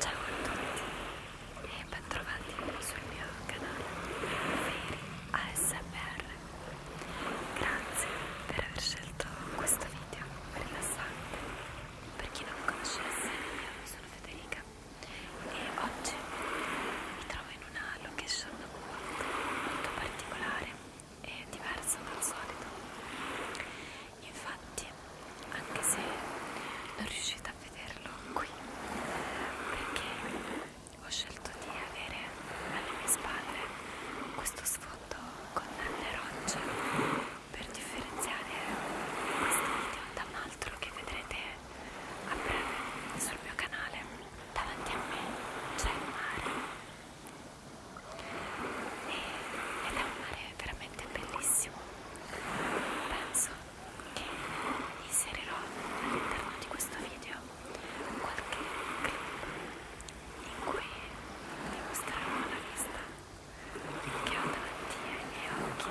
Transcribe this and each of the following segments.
Ciao a tutti e bentrovati sul mio canale Feri ASMR. Grazie per aver scelto questo video rilassante. Per chi non mi conoscesse, io sono Federica e oggi mi trovo in una location molto particolare è diverso dal solito infatti anche se non riuscite a vederlo qui perché ho scelto di avere alle mie spalle questo sfondo con le rocce per differenziare questo video da un altro che vedrete a breve sul mio canale davanti a me c'è il mare ed è un mare veramente bellissimo penso che inserirò all'interno di questo video qualche clip in cui vi mostrerò la vista che ho davanti ai miei occhi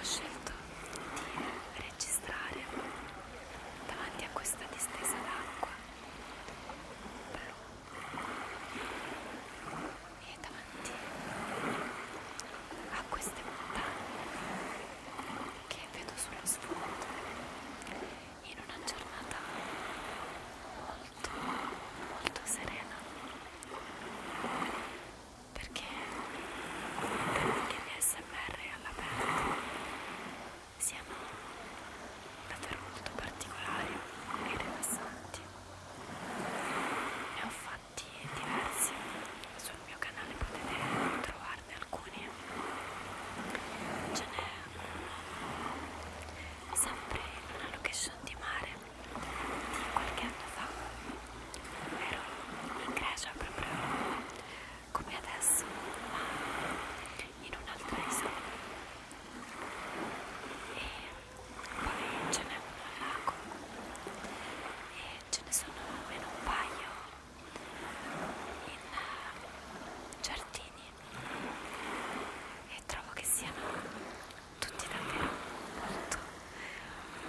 Ho scelto di registrare davanti a questa distesa d'acqua blu e davanti a queste montagne che vedo sullo sfondo in una giornata molto molto serena perché gli ASMR all'aperto siano davvero molto particolari e rilassanti ne ho fatti diversi sul mio canale potete trovare guarda alcuni ce n'è uno sempre in una location di mare di qualche anno fa ero in Grecia proprio come adesso ma in un'altra isola e poi ce n'è uno al lago e ce ne sono almeno un paio in eh, giardini e trovo che siano tutti davvero molto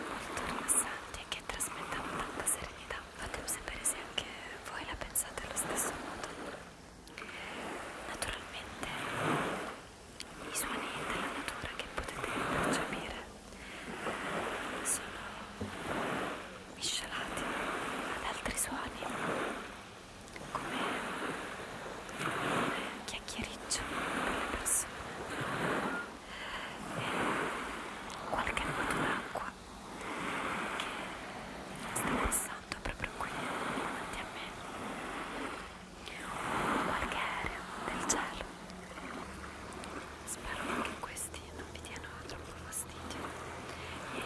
molto rilassanti e che trasmettano tanta serenità fatemi sapere se anche voi la pensate allo stesso modo naturalmente i suoni della natura che potete percepire sono miscelati ad altri suoni come un chiacchiericcio per le persone e qualche nuoto d'acqua che sta passando proprio qui davanti a me qualche aereo del cielo spero che questo questi non vi diano troppo fastidio e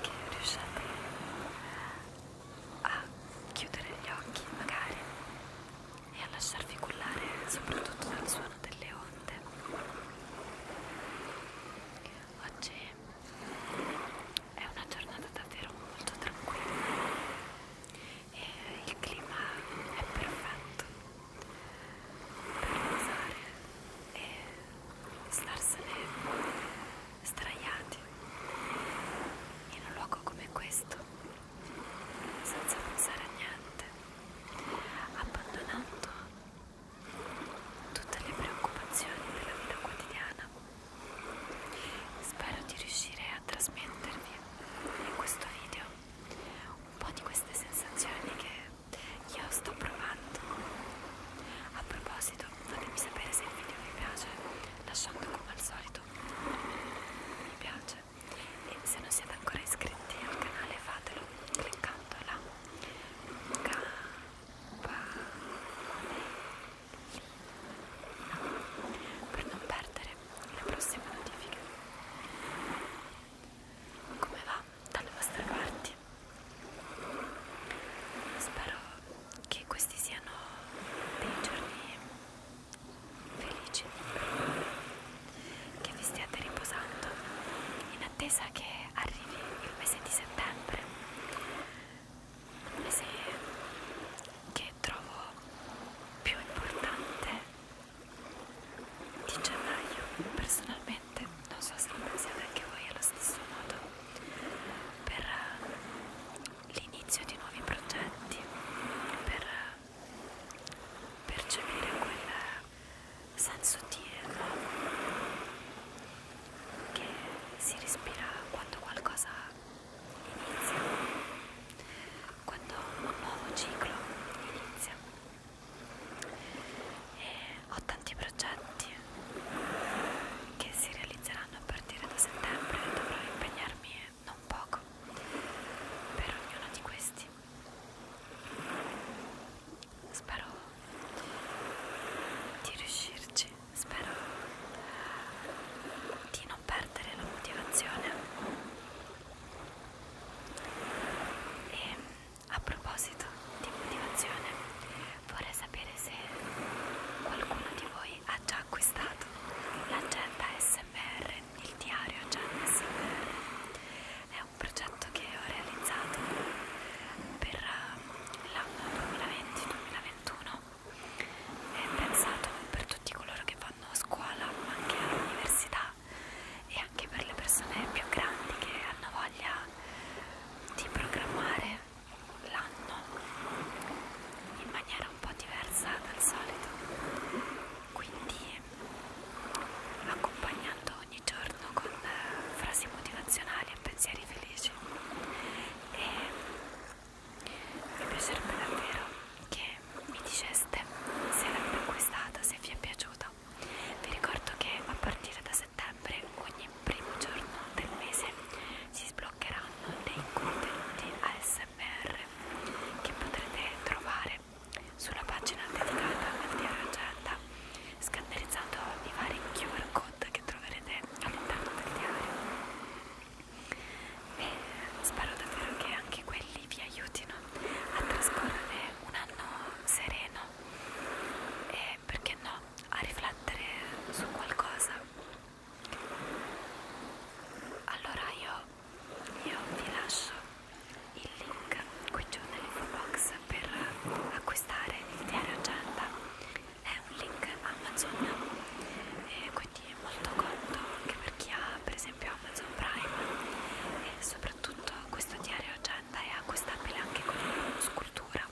che riusciate a chiudere gli occhi magari e a lasciarvi cullare soprattutto dal suono delle onde oggi è una giornata davvero molto tranquilla e il clima è perfetto per riposare e starsene straiati in un luogo come questo senza pensare a niente abbandonando tutte le preoccupazioni della vita quotidiana spero di riuscire a trasmettervi in questo video un po' di queste sensazioni che io sto provando a proposito fatemi sapere se il video vi piace lasciando come al solito mi piace e se non siete ancora iscritti al canale fatelo cliccando la campanellina per non perdere le prossime notifiche come va dalle vostre parti spero che questi siano dei giorni felici che vi stiate riposando in attesa che arrivi il mese di settembre un mese che trovo più importante di gennaio personalmente non so se lo pensiate anche voi allo stesso modo per eh, l'inizio di nuovi progetti per eh, percepire quel eh, senso di nuovo che si respira quando qualcosa inizia quando un nuovo ciclo inizia ho tanti progetti che si realizzeranno a partire da settembre e dovrò impegnarmi non poco per ognuno di questi. Spero di riuscirci, spero di non perdere la motivazione e a proposito di motivazione, vorrei sapere se qualcuno di voi ha già acquistato l'agenda SMR, il diario agenda SMR. È un progetto che ho realizzato per eh, l'anno 2020-2021. È pensato per tutti coloro che vanno a scuola, ma anche all'università e anche per le persone più grandi che hanno voglia di programmare l'anno in maniera un po' diversa dal solito quindi accompagnando ogni giorno con eh, frasi motivazionali e pensieri felici e mi piacerebbe davvero che mi diceste se l'avete acquistata, se vi è piaciuta. Vi ricordo che a partire da settembre, ogni primo giorno del mese, si sbloccheranno dei contenuti ASMR che potrete trovare sulla pagina dedicata al diario agenda, scannerizzando i vari QR code che troverete all'interno del diario e spero davvero che anche quelli vi aiutino a trascorrere un anno sereno e perché no a riflettere su qualcosa allora io, io vi lascio il link qui giù nell'info box per acquistare il diario agenda è un link Amazon e quindi è molto conto anche per chi ha per esempio Amazon Prime e soprattutto questo diario agenda è acquistabile anche con il bonus cultura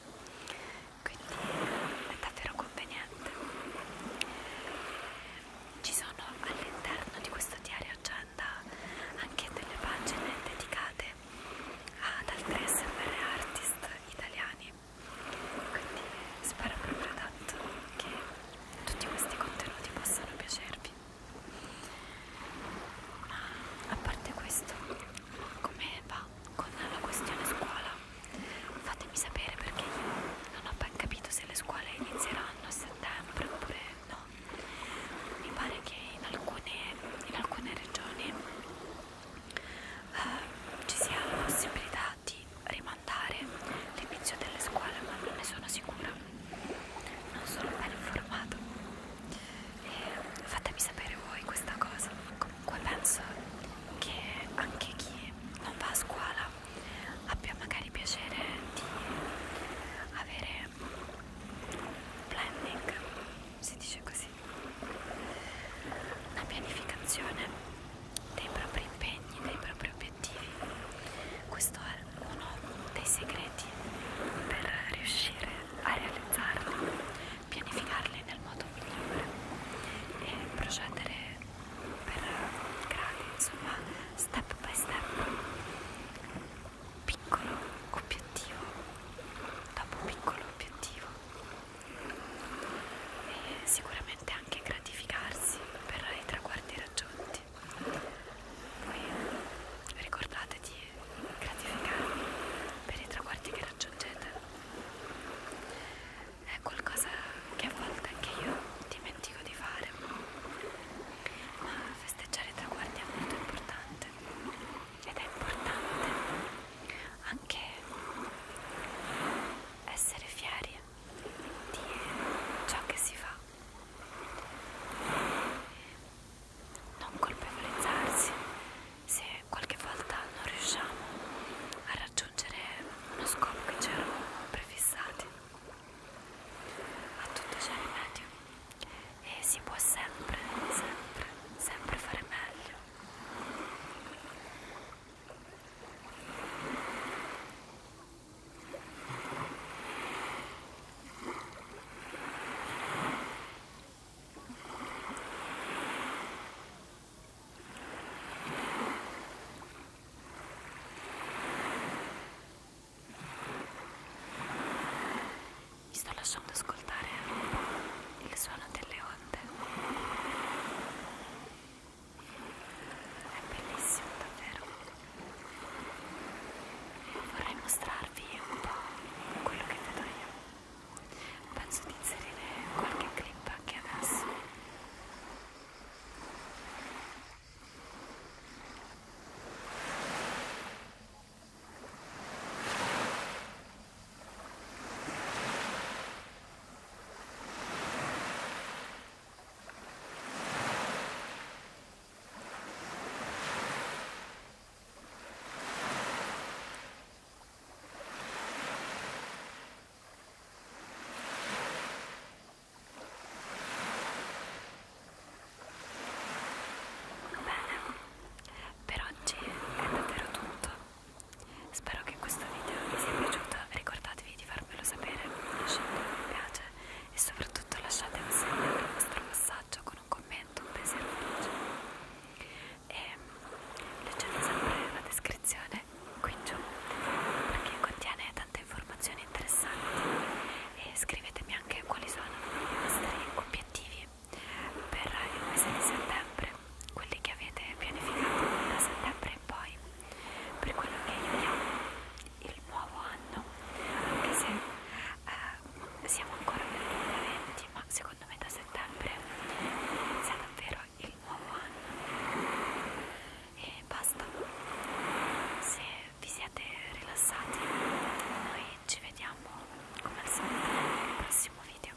quindi è davvero conveniente ci sono all'interno di questo diario agenda anche delle pagine dedicate ad altri SMR artist italiani quindi spero proprio tanto che tutti questi contenuti possano piacervi ma a parte questo come va con la questione scuola fatemi sapere perché io non ho ben capito se le scuole inizieranno a settembre oppure no mi pare che in alcune, in alcune regioni eh, ci sia la possibilità di rimandare l'inizio delle scuole ma non ne sono sicura non sono ben informata e fatemi sapere voi questa cosa comunque penso che anche chi non va a scuola abbia magari piacere di avere un planning si dice così una pianificazione dei propri impegni, dei propri obiettivi. Questo è uno dei segreti per riuscire a realizzarli, pianificarli nel modo migliore e procedere per gradi, insomma, step by step. Piccolo obiettivo dopo piccolo obiettivo e sicuramente anche gratificarsi per i traguardi raggiunti. Poi ricordate di gratificarvi per i traguardi che raggiungete. È qualcosa che a volte anche io dimentico di fare, ma festeggiare i traguardi è molto importante ed è importante anche essere fieri di ciò che si fa non colpevolizzarsi se qualche volta non riusciamo a raggiungere uno scopo che ci eravamo prefissati a tutto c'è rimedio e si può sempre sempre sempre fare meglio mi sto lasciando ascoltare il suono delle onde è bellissimo davvero vorrei mostrarvi un po' quello che vedo io penso di inserire qualche clip anche adesso Bene, per oggi è davvero tutto. Spero che questo video vi sia piaciuto, ricordatevi di farmelo sapere, lasciate un mi piace e soprattutto lasciate un segno del vostro passaggio con un commento, un pensiero felice. E ehm, leggete sempre la descrizione qui giù perché contiene tante informazioni interessanti e scrivetemi anche quali sono i vostri obiettivi per il mese di settembre, quelli che avete pianificato da settembre in poi, per quello che io chiamo il nuovo anno, anche se eh, siamo ancora nel 2020, ma secondo me da settembre inizia davvero il nuovo anno e basta. Se vi siete rilassati, noi ci vediamo come al solito nel prossimo video.